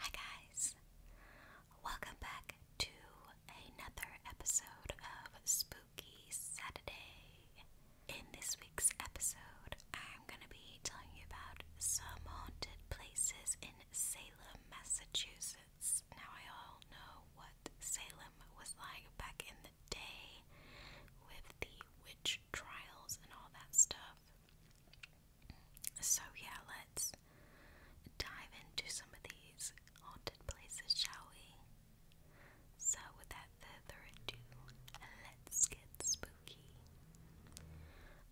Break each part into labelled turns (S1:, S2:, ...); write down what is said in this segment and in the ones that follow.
S1: Hi, guys! Welcome back to another episode of Spooky Saturday. In this week's episode, I'm going to be telling you about some haunted places in Salem, Massachusetts. Now, I all know what Salem was like back in the day with the witch trials and all that stuff. So, yeah, let's dive into some of these haunted places, shall we? So, without further ado, let's get spooky.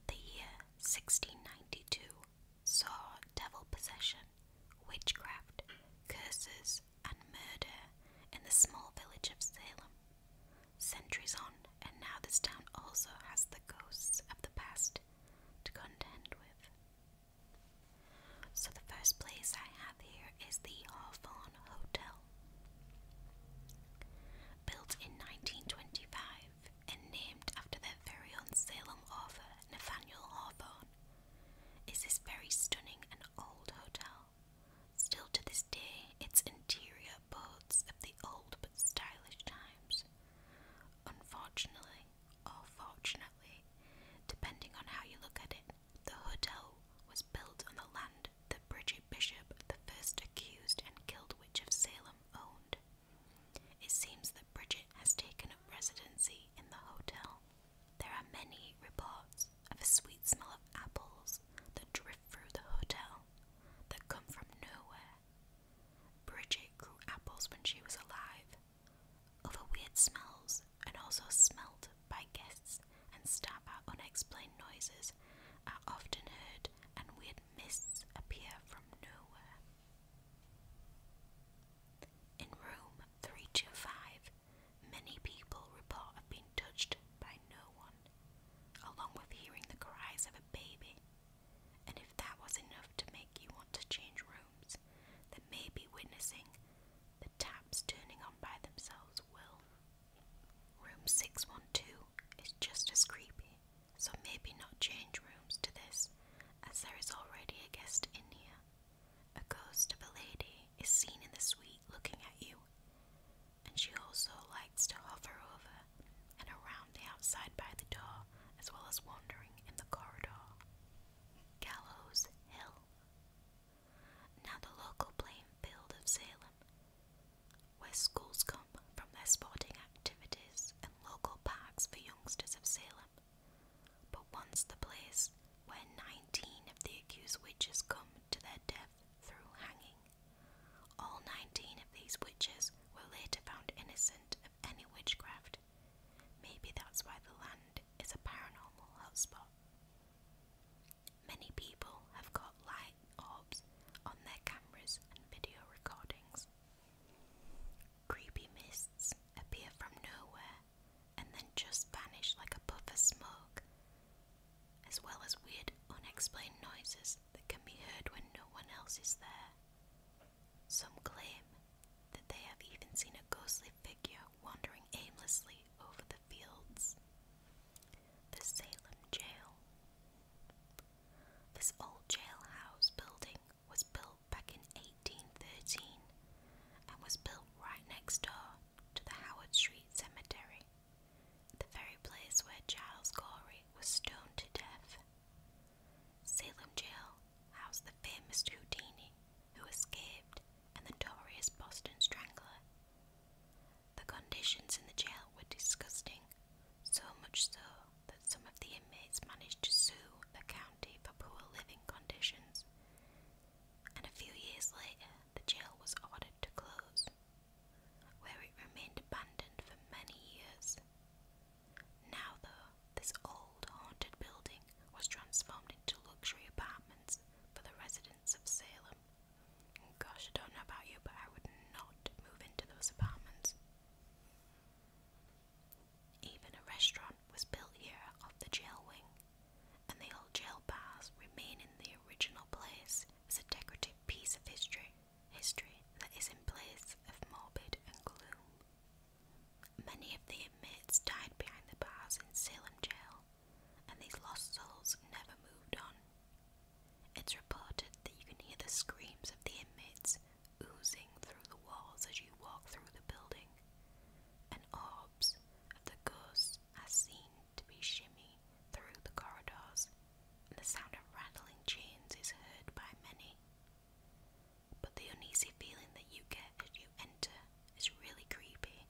S1: The year 1692 saw devil possession, witchcraft, curses, and murder in the small village of Salem. Centuries on, and now this town also has the ghosts of the past to contend with. So, the first place I have here is the Hawthorne Hotel. Built in 1925 and named after their very own Salem author Nathaniel Hawthorne, is this very stunning and old hotel. Still to this day, its interior boasts of the old but stylish times. Unfortunately, or fortunately, depending on how you look at it, the hotel was built on the land that Bridget Bishop, the first accused and killed witch of Salem, owned. It seems that Bridget has taken a residency in the hotel. There are many reports of a sweet smell of apples that drift through the hotel, that come from nowhere, Bridget grew apples when she was alive, although weird smells and also smelt by guests and staff unexplained noises are often heard and weird mists appear from nowhere. In room 325, many people report have been touched by no one, along with hearing the cries of a baby and if that was enough to make you want to change rooms, then maybe witnessing the taps turning on by themselves will. Room 612 is just as creepy, so maybe not change rooms to this, as there is already a guest in here. A ghost of a lady is seen in the suite looking at you, and she also likes to hover over and around the outside by the door, as well as wandering in the corridor. Gallows Hill. Now the local playing field of Salem, where schools come from their sporting activities and local parks for youngsters of Salem. But once the place where nineteen of the accused witches come to their death through hanging. All 19 of these witches were later found innocent of any witchcraft. Maybe that's why the land is a paranormal hotspot. Many people have got light orbs on their cameras and video recordings. Creepy mists appear from nowhere and then just vanish like a puff of smoke, as well as weird, unexplained noises that can be heard when no one else is there. Some claim that they have even seen a ghostly figure wandering aimlessly over the fields. The Salem Jail. This old jailhouse building was built back in 1813 and was built right next door to the Howard Street Cemetery, the very place where Giles Corey was stoned to death Salem Jail housed the famous Houdini, who escaped, and the notorious Boston Strangler. The conditions in the jail were disgusting, so much so that some of the inmates managed to sue the county for poor living conditions, and a few years later the jail was ordered to close, where it remained abandoned for many years. Now, though, this old haunted building was transformed into luxury apartments for the residents of Salem. And gosh, I don't know about you, but I would not move into those apartments. Even a restaurant was built here off the jail wing, and the old jail bars remain in the original place as a decorative piece of history history that is in place of morbid and gloom. Many of the inmates died behind the bars in Salem jail, and these lost souls never moved on. It's reported that you can hear the screams of the inmates oozing through the walls as you walk through the building, and orbs of the ghosts are seen to be shimmy through the corridors the sound of rattling chains is heard by many. But the uneasy feeling that you get as you enter is really creepy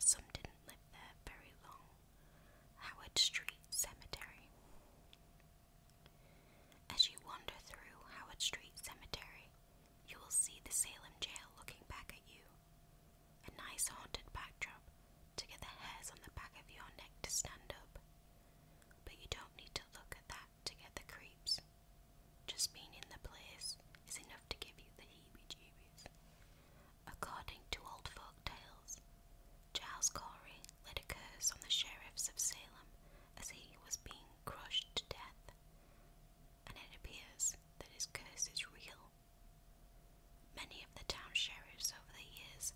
S1: some didn't live there very long. Howard Street Cemetery. As you wander through Howard Street Cemetery, you will see the Salem jail looking back at you. A nice haunted backdrop to get the hairs on the back of your neck to stand up. But you don't need to look at that to get the creeps. Just being in the place is enough to give you the heebie jeebies. According to old folk tales, Giles Corey laid a curse on the sheriffs of Salem as he was being crushed to death, and it appears that his curse is real. Many of the town sheriffs over the years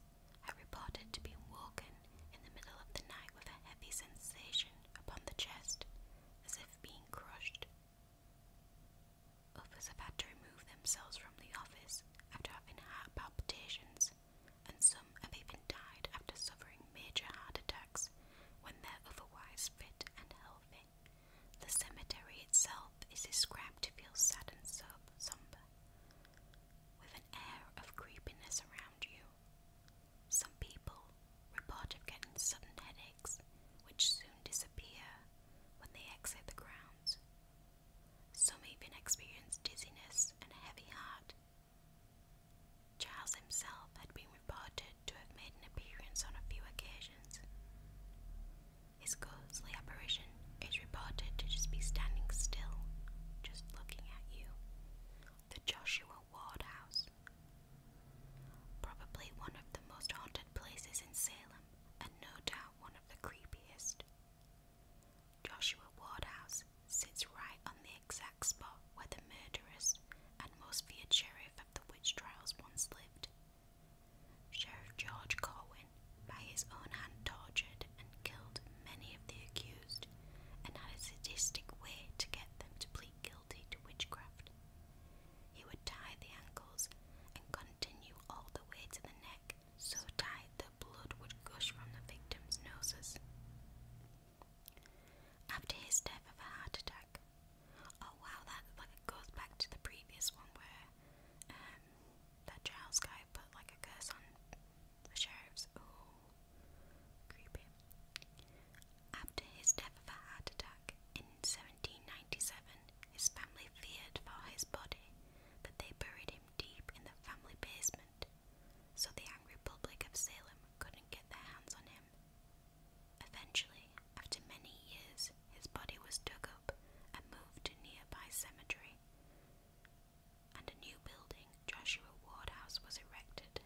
S1: I reported to be walking in the middle of the night with a heavy sensation upon the chest, as if being crushed. Others have had to remove themselves from the office after having heart palpitations, and some have even died after suffering major heart attacks when they're otherwise fit and healthy. The cemetery itself is described to feel sad and somber with an air of creepiness around you. Some people report of getting sudden headaches, which soon disappear when they exit the grounds. Some even experience dizziness and a heavy heart. Charles himself had been reported to have made an appearance on a few occasions. His ghostly apparition it's reported to just be standing still, just looking at you. The Joshua Ward House. Probably one of the most haunted places in Salem, and no doubt one of the creepiest. Joshua Ward House sits right on the exact spot where the murderous and most feared sheriff of the witch trials once lived. Sheriff George Corwin, by his own hand tortured and killed many of the accused, and had a sadistic way to get them to plead guilty to witchcraft. He would tie the ankles and continue all the way to the neck, so tight that blood would gush from the victims' noses. After his death of a heart attack, oh wow, that like goes back to the previous one where um, that Giles guy put like a curse on the sheriff's. Ooh. Creepy. After his death of a heart attack in 1797, his family feared for his body, but they buried him deep in the family basement, so the angry public of Salem couldn't get their hands on him. Eventually, after many years, his body was dug up and moved to nearby cemetery and a new building, Joshua Ward House, was erected.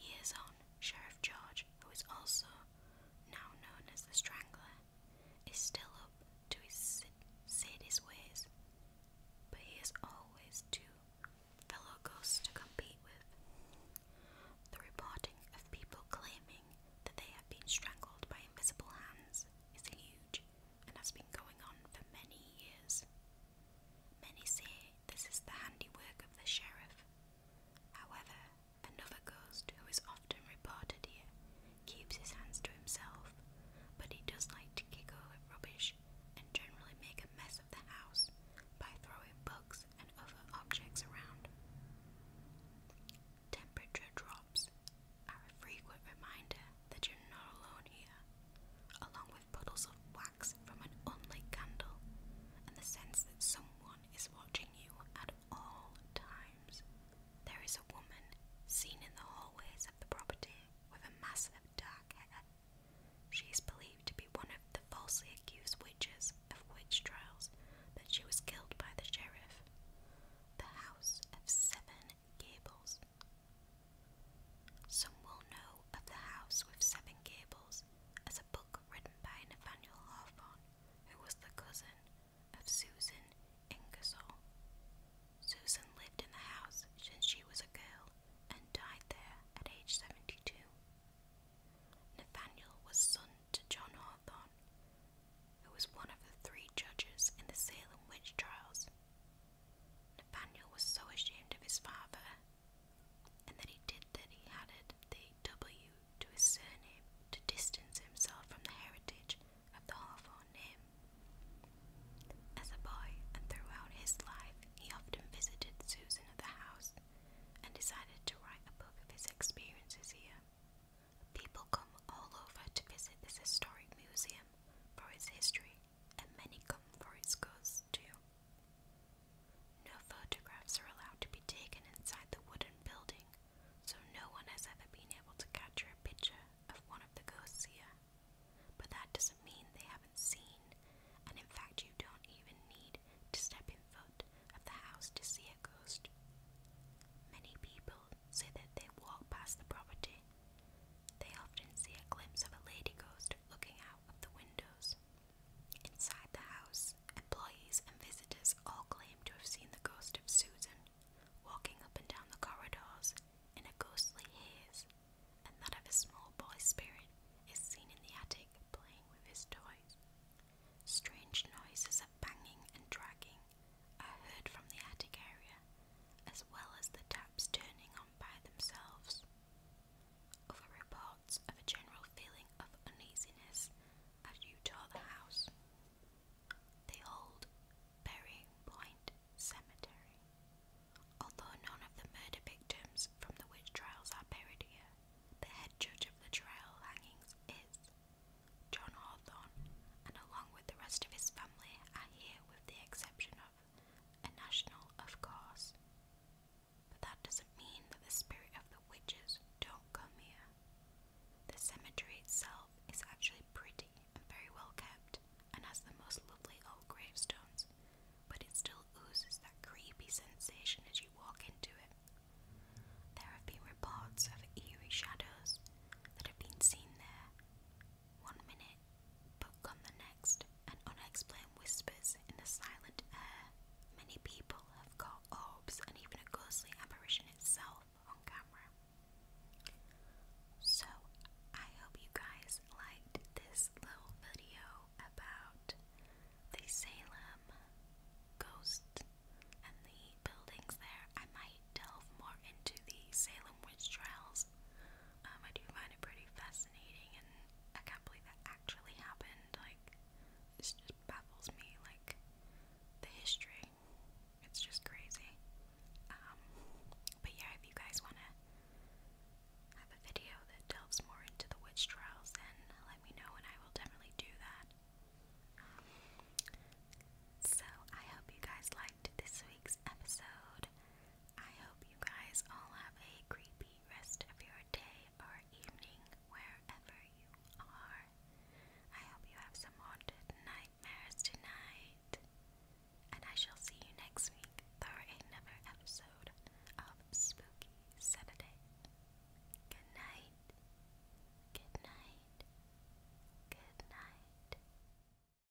S1: Years on, Sheriff George, who is also now known as the Strangler, is still up to his sadist ways, but he has always two fellow ghosts to compete with. The reporting of people claiming that they have been strangled by invisible hands is huge and has been going on for many years. Many say this is the handiwork of the sheriff. However, another ghost who is often reported here keeps his hands to himself, but he does like to kick over rubbish and generally make a mess of the house by throwing books and other objects around. Temperature drops are a frequent reminder that you're not alone here, along with puddles of wax from an unlit candle and the sense that someone is watching you at all times. There is a woman seen in the hallways of the property with a mass of dark hair. She is believed to be one of the falsely accused witches of witch trials, but she was killed by the sheriff. The house of seven gables. Some will know of the house with seven gables as a book written by Nathaniel Hawthorne, who was the cousin of Susan Ingersoll. Susan lived in the house since she was a girl and died there at age 72. Nathaniel was son to John Hawthorne, who was one of the three judges in the Salem witch trials. Nathaniel was so ashamed of his father, and that he did that he added the W to his surname to distance himself from the heritage of the Hawthorne name. As a boy and throughout his life, he often visited Susan at the house and decided to write a book of his experiences here. People come all over to visit this historic museum for its history and many comforts goes too. No photographs are allowed to be taken inside the wooden building, so no one has ever been able to capture a picture of one of the ghosts here. But that doesn't mean they haven't seen, and in fact, you don't even need to step in front of the house to see a ghost. Many people say that they walk past the property they often see a glimpse of a lady ghost looking out of the windows. Inside the house, employees and visitors all claim to have seen the ghost of Susan walking up and down the corridors in a ghostly haze, and that of a small boy spirit is seen in the attic playing with his toys. Strange noises of banging and dragging are heard from the attic area, as well as the taps turning on by themselves. Other reports of a general feeling of uneasiness as you tour the house. They hold Berry Point Cemetery. Although none of the murder victims from the witch trials are buried here, the head judge of the trial hangings is John Hawthorne, and along with the rest of his family are here with the exception of a national, of course. But that doesn't mean that the spirit of the witches don't come here. The cemetery itself is actually pretty and very well kept and has the most lovely old gravestones, but it still oozes that creepy sensation as you walk into it. There have been reports of eerie shadows that have been seen there, one minute, but gone the next, and unexplained whispers in the silent air. Many people have caught orbs and even a ghostly apparition itself on camera. So, I hope you guys liked this little video about the Salem ghost and the buildings there. I might delve more into the Salem witch trials um, I do find it pretty fascinating, and I can't believe that actually happened. Like, this just baffles me. Like, the history, it's just crazy. Um, but yeah, if you guys want to have a video that delves more into the witch trials, then let me know, and I will definitely do that. Um, so, I hope you guys liked this week's episode. I hope you guys all have a creepy rest of your day or evening wherever you are. I hope you have some haunted nightmares tonight. And I shall see you next week for another episode of Spooky Saturday. Good night. Good night. Good night.